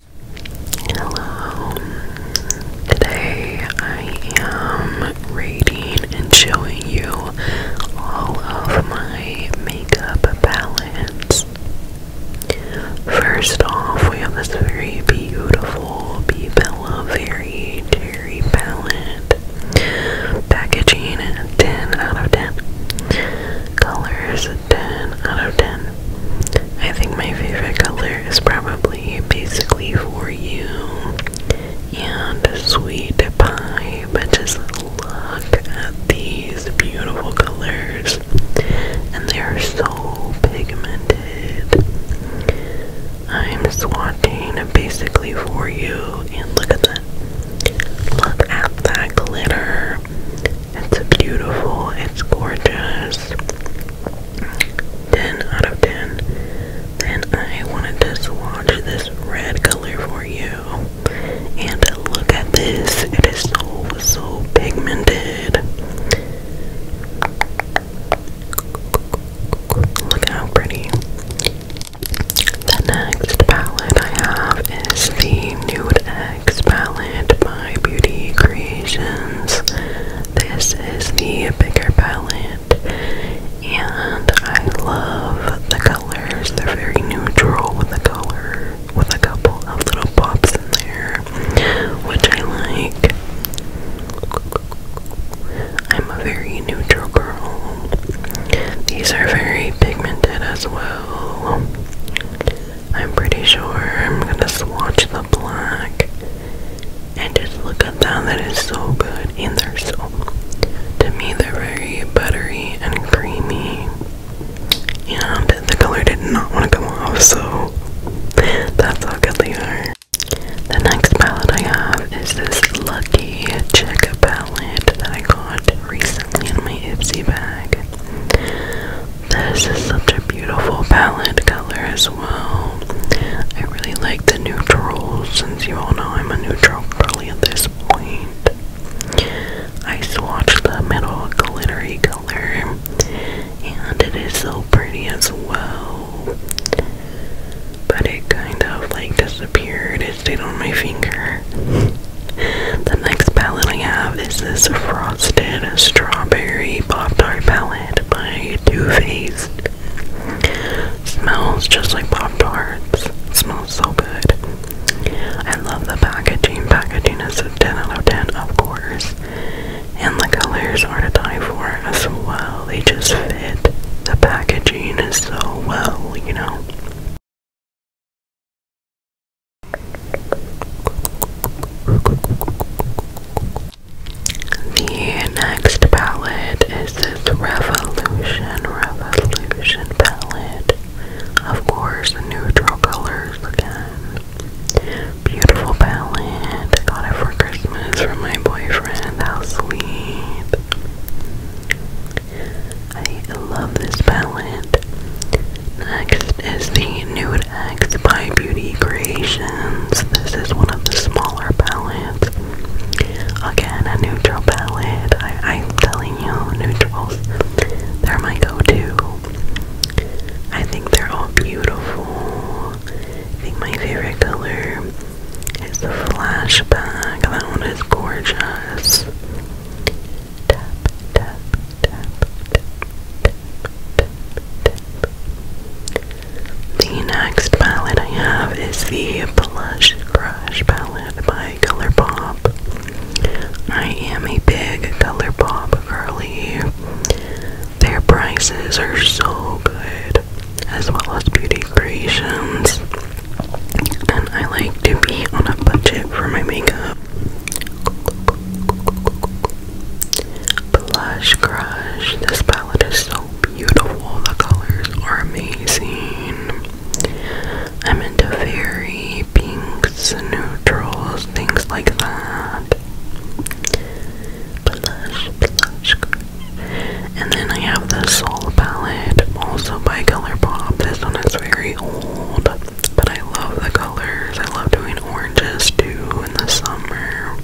Hello. Today I am rating and showing you all of my makeup palettes. First off, we have this very beautiful Bella Very Cherry palette. Packaging 10 out of 10. Colors 10 out of 10. I think my favorite color is probably basically for you and sweet pie, but just look at these beautiful colors, and they are so pigmented. I'm swatching basically for you, and look at that. Look at that glitter. It's beautiful, it's gorgeous. 10 out of 10. Then I wanted to swatch this red color for you. And look at this, it is so, so pigmented. Look how pretty. The next palette I have is the Nude Complex palette by Beauty Creations. This is the bigger palette, and I love the colors. They're very neutral with the color, with a couple of little pops in there, which I like. I'm a very neutral girl. These are very pigmented as well. I'm pretty sure I'm gonna swatch the black and just look at that. That is so good, and they're so to me they're very buttery and creamy. And the color did not want to come off, so that's how good they are. The next palette I have is this Lucky Chick palette that I got recently in my Ipsy bag. This is such a beautiful palette color as well. I really like the neutrals since you all know I'm a neutral girly at this point. I swatched the middle glittery color and it is so pretty as well. But it kind of like disappeared. It stayed on my finger. the next palette I have is this frog Frosted Strawberry Pop-Tart Palette by Too Faced. Smells just like Pop-Tarts. Smells so good. I love the packaging. Packaging is a 10 out of 10, of course. And the colors are to die for as well. They just fit the packaging is so well, you know. The next palette is this Revolution, Revolution palette. Of course, neutral colors again. Beautiful palette. I got it for Christmas from my boyfriend. I'll sleep. I love this palette. Next is the Nude X by Beauty Creations. This is one of the smaller palettes. Again, a neutral palette. I, am telling you, neutrals, they're my go-to. I think they're all beautiful. I think my favorite color is the flashback. That one is gorgeous. Tap, tap, the next palette I have is the Blush Crush palette by ColourPop. I am a big ColourPop girly. Their prices are so good, as well as beauty creations. And I like to be on a budget for my makeup. Blush Crush. This palette is so beautiful. The colors are amazing. I'm into fairy pinks, neutrals, things like that. And then I have the Soul palette, also by ColourPop. This one is very old. But I love the colors. I love doing oranges too in the summer.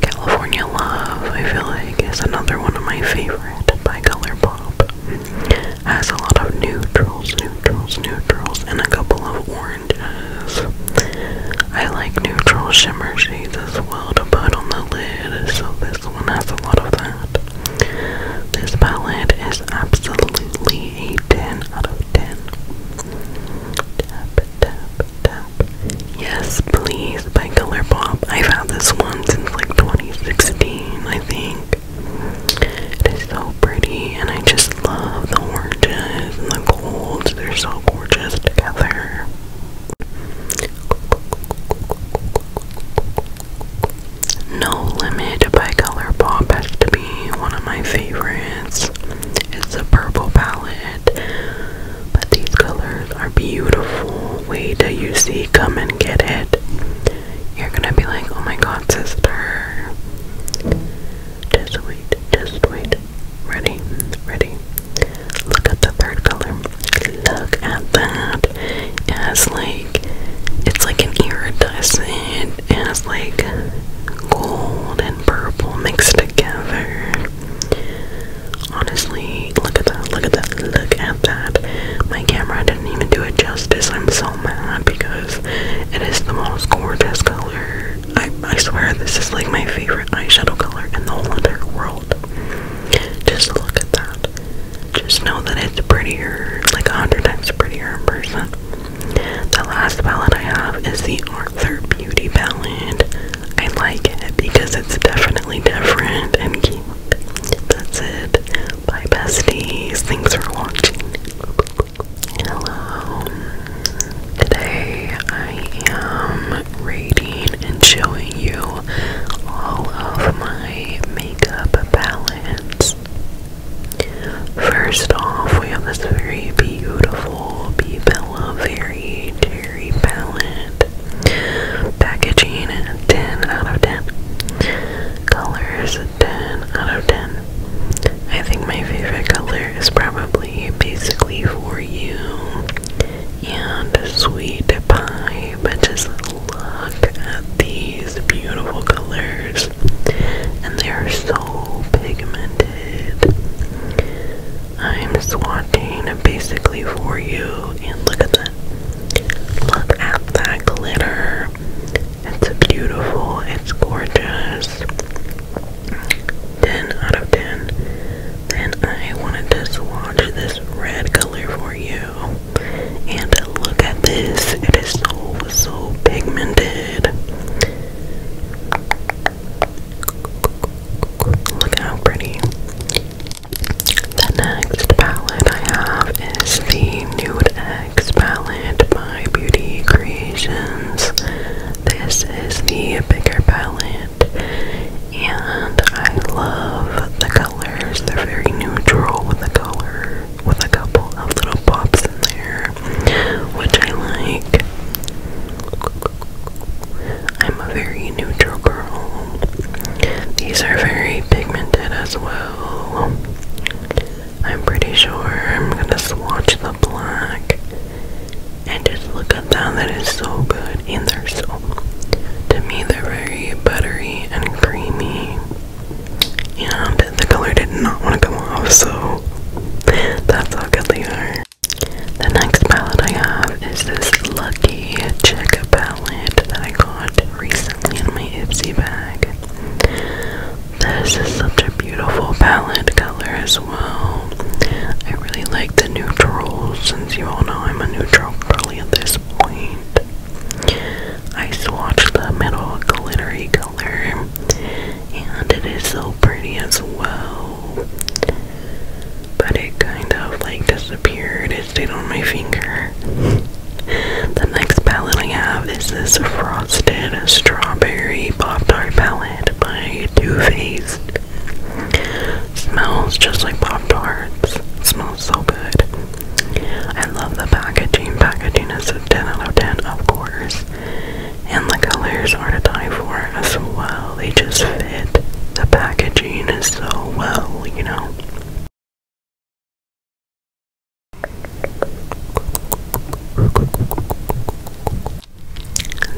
California Love, I feel like, is another one of my favorite by Colourpop. Has a lot of neutrals, neutrals, neutrals, and a couple of oranges. I like neutral shimmer shades as well to put on the lid, so this one has a lot of that. This palette is absolutely a 10 out of 10. Tap, tap, tap. Yes, please, by Colourpop. I've had this one since like 2016, I think. It is so pretty, and I just love the oranges and the golds. They're so gorgeous together. No Limit by Colourpop has to be one of my favorites. It's a purple palette, but these colors are beautiful. Wait till you see, come and get it. You're gonna be like, oh my god, sister. Just wait, just wait. Ready, ready. Look at the third color. Look at that. It's like, it's like an iridescent it has like gold and purple mixed together. Honestly, look at that, look at that, look at that. My camera didn't even do it justice. I'm so mad because it is the most gorgeous color. I, I swear this is like my favorite eyeshadow color in the whole entire world. Just look at that. Just know that it's prettier, like a hundred times prettier in person. The last palette I have is the Arthur Beauty palette. I like it because it's definitely different and cute. That's it. Bye, besties. Thanks for watching. Hello. Today I am rating and showing you all of my makeup palettes. First off, we have this very beautiful Bella Very Cherry palette. Packaging 10 out of 10. Colors 10 out of 10. I think my favorite color is probably basically for you and sweet pie, but just look at these beautiful colors and they are so pigmented. I'm swatching basically for you and look at that. Look at that glitter. It's beautiful. It's gorgeous. 10 out of 10. Then I wanted to swatch this red color for you. And look at this. It is so, so pigmented. Look at how pretty. The next palette I have is the Nude X palette by Beauty Creations. This is the bigger palette, and I love the colors. They're very neutral with a color, with a couple of little pops in there which I like. I'm a very neutral girl. These are very pigmented as well. I'm pretty sure I'm gonna swatch the black and just look at that. That is so good. And they're so, to me, they're very buttery and creamy. And the color did not want to come off, so that's how good they are. The next palette I have is this Lucky Chick palette that I got recently in my Ipsy bag. This is such a beautiful palette color as well. I really like the neutrals since you all know I'm a neutral girly at this point. I swatched the middle glittery color and it is so pretty as well. But it kind of like disappeared. It stayed on my finger. the next palette I have is this Frosted Strawberry Pop Tart palette by Too Faced. Smells just like Pop Tarts. Smells so good. I love the packaging. Packaging is a 10 out of 10, of course and the colors are to die for as well. They just fit. The packaging is so well, you know.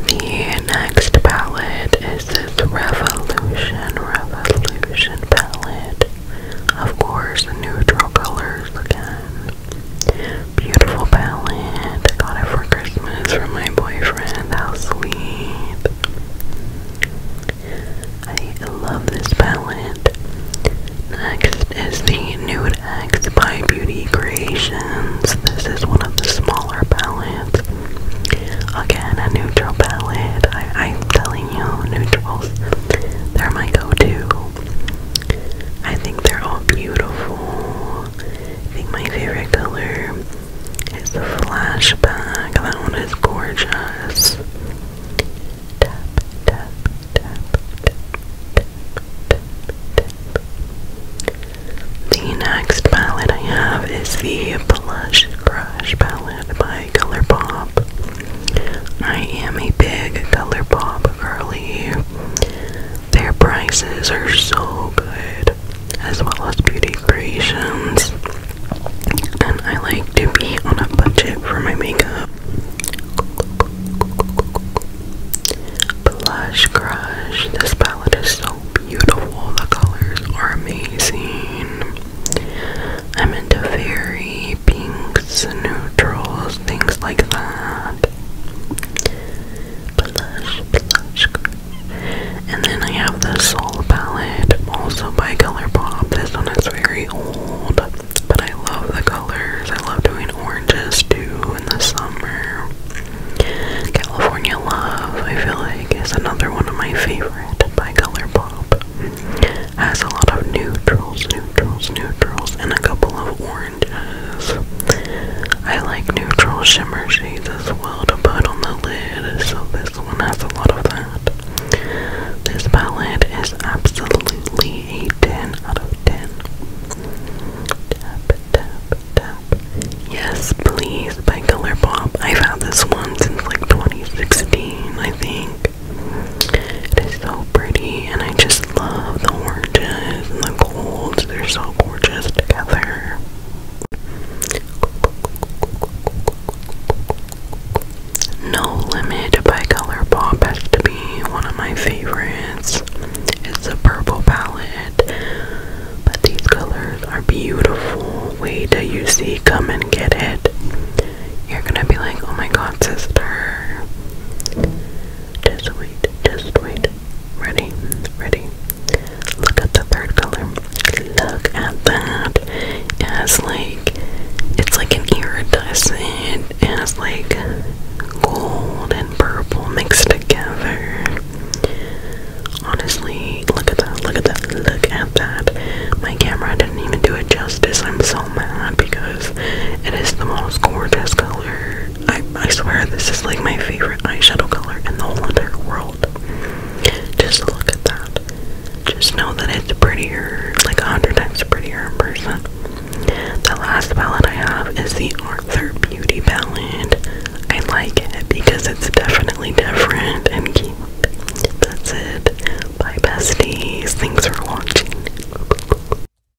The next palette is this Revolution Revolution palette. Of course, neutral colors again. Beautiful ballad. I got it for Christmas from my boyfriend. How sweet. I love this ballad. Next is the Nude X by Beauty Creations. This is one of the smaller ballads. Again, a neutral ballad. I, I'm telling you, neutrals, they're my go to. I think they're all beautiful. I think my favorite color is the flashback. That one is gorgeous. Tap, tap, tap, tap, tap, tap, tap. The next palette I have is the Blush Crush palette by ColourPop. I am a big ColourPop girly. Their prices are so good, as well as beauty creations. And I like to be on a budget for my makeup. Blush Crush. This palette is so beautiful. The colors are amazing. I'm into fairy pinks, neutrals, things like that. And then I have the Soul palette, also by ColourPop. This one is very old, but I love the colors. I love doing oranges too in the summer. California Love, I feel like, is another one of my favorite by ColourPop. Has a lot of neutrals, neutrals, neutrals, and a couple of oranges. I like neutral shimmer shades as well to put on the lid, so this one has a lot of that. This palette is absolutely a 10 out of 10. Tap, tap, tap. Yes, please, by ColourPop. I've had this one since like 2016, I think. It is so pretty, and I just love the oranges and the golds. They're so gorgeous together. No Limit by Colourpop has to be one of my favorites. It's a purple palette, but these colors are beautiful. Wait till you see Come and Get It. You're gonna be like, oh my god, sister. Just wait, just wait. Ready, ready. Look at the third color. Look at that. It has like, it's like an iridescent. It has like gold and purple mixed together. Honestly, look at that, look at that, look at that. My camera didn't even do it justice. I'm so mad because it is the most gorgeous color I, I swear this is like my favorite eyeshadow color in the whole entire world. Just look at that. Just know that it's prettier, like a hundred times prettier in person. The last palette I have is the Arthur Beauty palette. I like it because it's definitely different and cute. That's it. Bye besties. Thanks for watching.